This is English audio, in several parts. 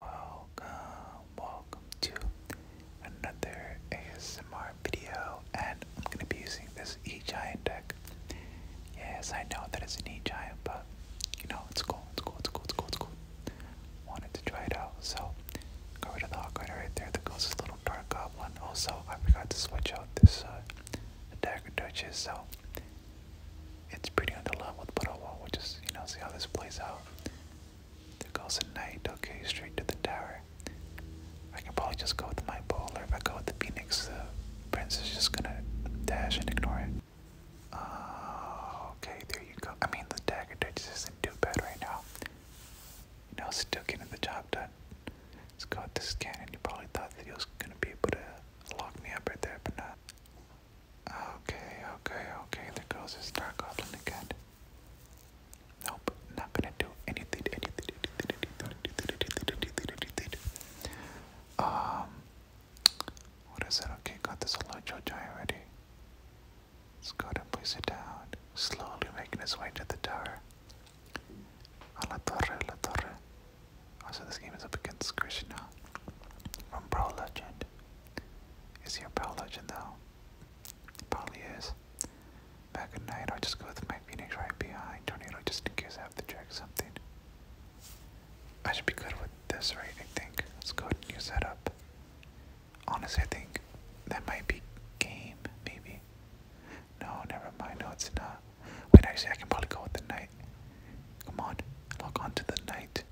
Welcome, welcome to another ASMR video, and I'm gonna be using this E Giant deck. Yes, I know that it's an E Giant, but you know it's cool, it's cool, it's cool, it's cool, it's cool. Wanted to try it out, so got rid of the hawk rider right there. That goes this little dark goblin. Also, I forgot to switch out this uh, dagger duchess, so it's pretty underleveled, but oh well, we'll just you know see how this plays out. There goes a knight, okay, straight to the tower. I can probably just go with my bull, or if I go with the phoenix, the prince is just gonna dash and ignore it. Oh, okay, there you go. I mean, the dagger just isn't too bad right now. You know, still getting the job done. It's got the this cannon. You probably thought that he was gonna be able to lock me up right there, but not. Okay, okay, okay. There goes this Dark Goblin again. Nope, not gonna do anything, anything, anything, anything, anything, anything, anything, anything. Um, what is it? Okay, got this Alojo giant ready. Let's go and place it down. Slowly making its way to the tower. A la torre, la torre. Also, this game is up against Krishna from Pro Legend. Is your a Prowl legend though? He probably is. Back at night, I'll just go with my Phoenix right behind Tornado just in case I have to drag something. I should be good with this, right? I think. Let's go ahead and use that up. Honestly, I think that might be game, maybe. No, never mind. No, it's not. Wait, actually, I can probably go with the night. Come on, lock onto the knight.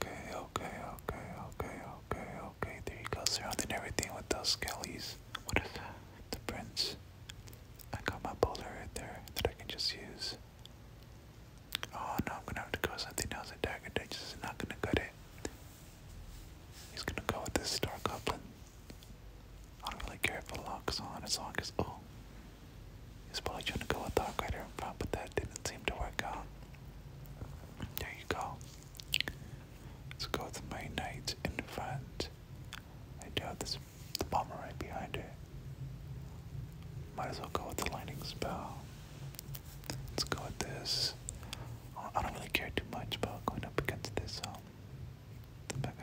Okay, okay, okay, okay, okay, okay. There you go, surrounding everything with those skellies. What is that? The prints. I got my bowler right there that I can just use. Oh no, I'm gonna have to go with something else. A dagger ditch Just not gonna cut it. He's gonna go with this star goblin. I don't really care if it locks on as long as oh. He's probably trying to go with Dark Rider but that didn't seem to work out. There you go. Let's go with my knight in front. I do have this the bomber right behind it. Might as well go with the lightning spell. Let's go with this. I don't really care too much about going up against this um, the mega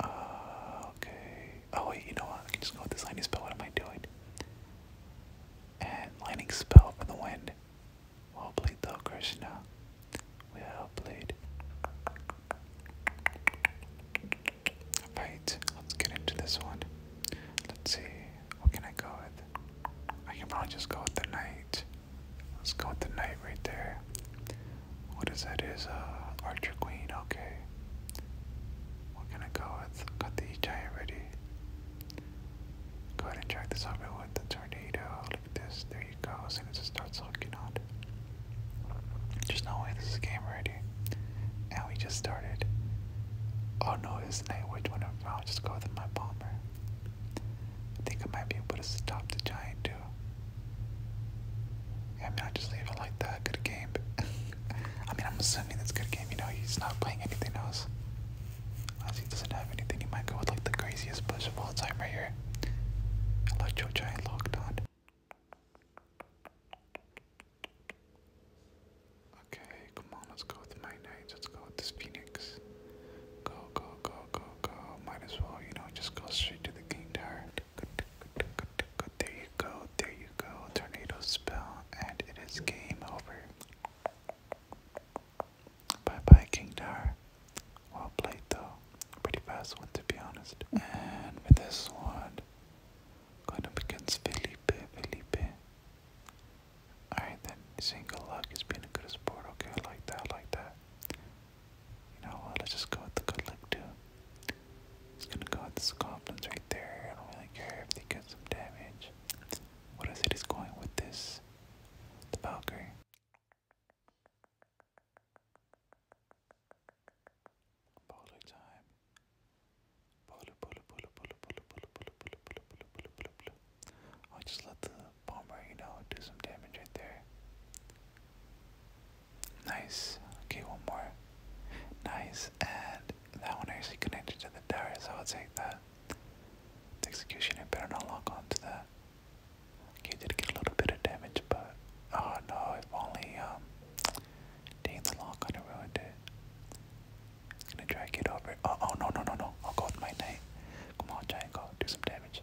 Uh, okay. Oh wait, you know what? I can just go with this lightning spell. What am I doing? And lightning spell for the wind. Well played though, Krishna. we Well bleed. Alright, let's get into this one. Let's see. What can I go with? I can probably just go with the knight. Let's go with the night right there. What is that? Is a uh, Archer Queen? Okay. What can I go with? Got the giant ready. Go ahead and drag this over with the tornado. Look at this. There you go. As soon as it starts hooking on. There's no way this is game ready. And we just started. Oh no, it's night. Which one of them? I'll just go with my bomber. I think I might be able to stop the giant too too. Yeah, I mean, I just leave it like that. Good game. I mean, I'm assuming that's good game. You know, he's not playing anything else. Unless he doesn't have anything, he might go with like the craziest push of all time right here. Electro Giant locked on. Okay, come on, let's go with my knights. Let's go with this Phoenix. Go, go, go, go, go. Might as well, you know, just go straight to the King Tower. There you go, there you go. Tornado spell, and it is game over. Bye bye, King Dar. Well played, though. Pretty fast one, to be honest. And with this one, going up against Felipe. Felipe. Alright, then, single luck is being a good sport. Okay, like that, like that. You know Let's just go with the good luck too. It's gonna go with this confidence right there. I don't really care if they get some damage. What is it is going with this? The Valkyrie. Bowler time. Bowler, bowler, bowler, bowler, bowler, bowler, bowler, bowler, bowler, bowler, bowler, bowler, bowler. i just let the bomber, you know, do some damage right there. Nice. Okay, one more. Nice. And that one actually connected to the tower, so i would take that. The executioner better not lock onto that. Okay, did get a little bit of damage, but oh no, if only um dang the lock on ruined it. gonna drag it over. Oh, oh no no no no. I'll go with my knight. Come on, giant go, do some damage.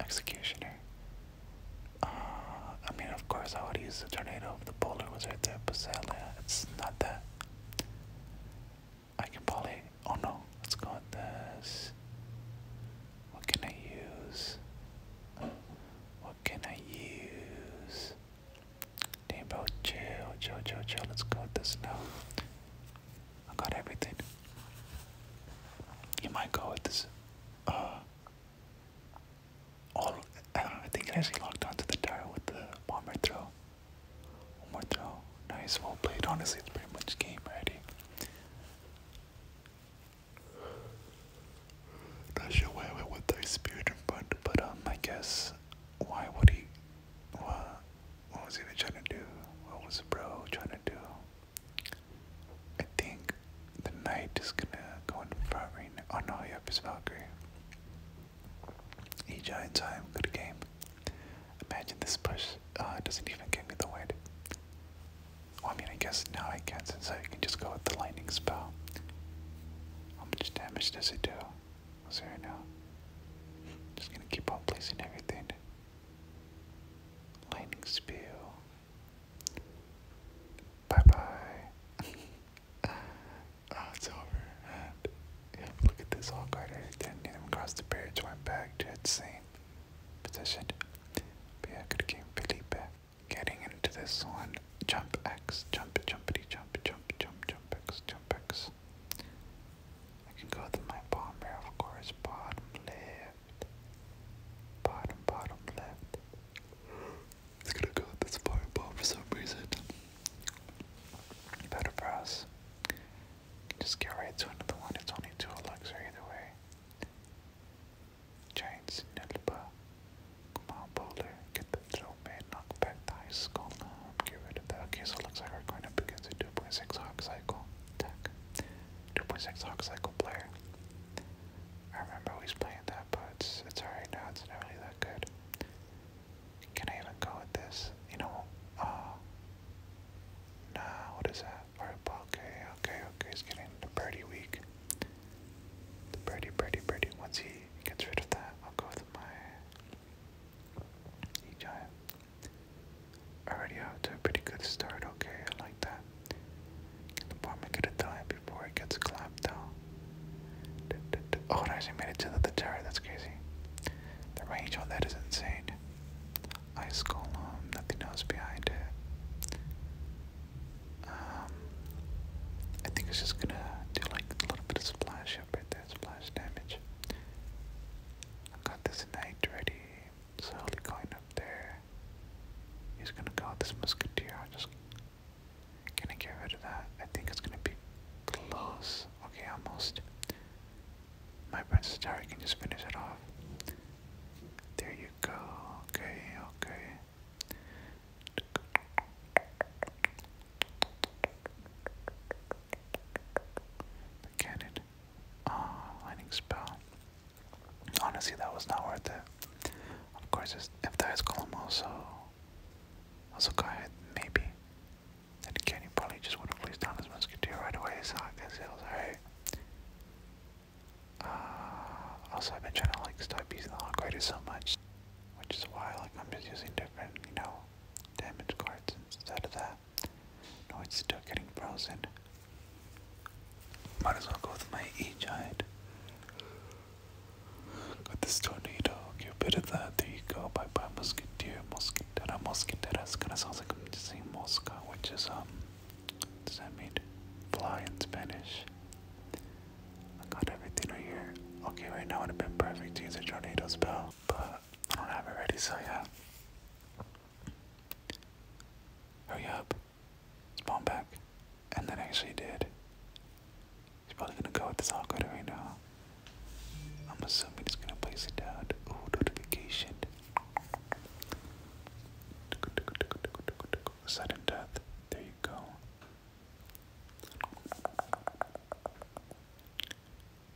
Executioner. Uh, I mean, of course, I would use the tornado if the boulder was right there, but sadly, it's not that. I can probably. Oh no, let's go with this. What can I use? What can I use? Damn, bro, chill, chill, chill, chill. Let's go with this now. I got everything. You might go with this. Uh, all uh, I think it actually locked onto the tire with the bomber throw. One more throw. Nice, well played. Honestly, it's pretty much game ready. Not sure why I went with the spirit in front, but um, I guess why would he what, what was he even trying to do? What was bro trying to do? I think the knight is gonna go in front right now. Oh no, he up his Valkyrie. E giant time, good game. Imagine this push uh, doesn't even give me the win. I mean, I guess now I can not so I can just go with the lightning spell. How much damage does it do? What's it right now? Just gonna keep on placing everything. Lightning Spew. Bye bye. oh, it's over. look at this all I didn't the bridge, went back to its same position. But yeah, good game, Getting into this one. Jump X, jump, jumpity, jump, jump, jump, jump X, jump X. I can go with my bomber, of course, bottom left. Bottom, bottom left. It's gonna go with this fireball for some reason. Better for us. Just get right to another one. It's only two elixir either way. Giant Snilpa. Come on, Get the little man knocked back to high school get rid of that. Okay, so it looks like we're going to begin the 2.6 Hawk Cycle 2.6 Hawk Cycle player. I remember always playing that, but it's, it's alright now, it's not really that good. Can I even go with this? You know, uh, nah, what is that? Alright, okay, okay, okay, he's getting the birdie weak. The birdie, birdie, birdie. Once he gets rid of that, I'll go with my E giant. Already off to a pretty good start, okay, I like that. Can the bomber get a dime before it gets clapped down? oh, it actually made it to the, the that's crazy. The range on that is insane. Ice column, nothing else behind it. Um, I think it's just gonna do like a little bit of splash up right there, splash damage. I got this knight ready, slowly going up there. He's gonna call this musketeer. I'm just gonna get rid of that. I think it's gonna be close. Okay, almost. My princess tower can just finish it off. There you go. Okay, okay. The cannon. Uh, lightning spell. Honestly, that was not worth it. Of course, if there is Colomoso, also go maybe. Then again, probably just would have placed down his musketeer right away, so I guess it was alright. Uh, also, I've been trying to like stop using the upgrader so much, which is why like I'm just using different, you know, damage cards instead of that. No, it's still getting frozen. Might as well go with my E giant. Got this tornado, get rid of that. There you go. Bye bye, Musketeer. Mosquitera, Mosquitera. It's kind of sounds like I'm just saying Mosca, which is, um, does that mean fly in Spanish? I got everything right here. Okay, right now would have been perfect to use a tornado spell but I don't have it ready, so yeah. Hurry up. Spawn back. And then actually did. He's probably gonna go with this awkward right now. I'm assuming he's gonna place it down. Ooh, notification. Sudden death. There you go.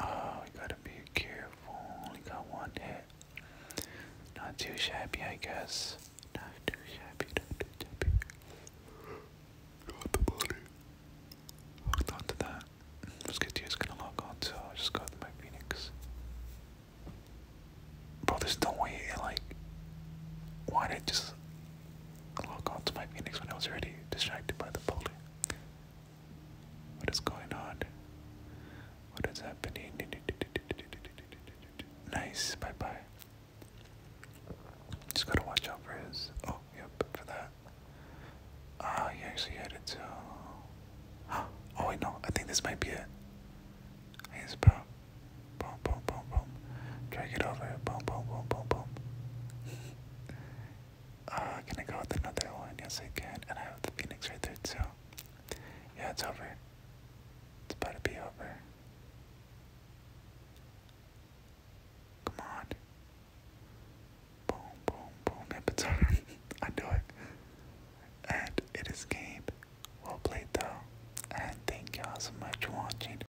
Oh, gotta be careful. Only got one hit. Not too shabby, I guess. Not too shabby, not too shabby. Got the body. Hold on to that. Musketeer's gonna lock on, just go with Phoenix. Bro, there's no way it, like. Why did just. Log oh on to my Phoenix when I was already distracted by the pole. What is going on? What is happening? Nice, bye bye. Just gotta watch out for his. Oh, yep, for that. Ah, he actually had it too. Oh, wait, no, I think this might be it. He's boom, Drag it over. Boom, boom, boom, boom, boom. uh, can I go with another one? Yes, I can. And I have the Phoenix right there, too. Yeah, it's over. It's about to be over. Come on. Boom, boom, boom. Yep, it's over. I do it. And it is game. Well played, though. And thank y'all so much for watching.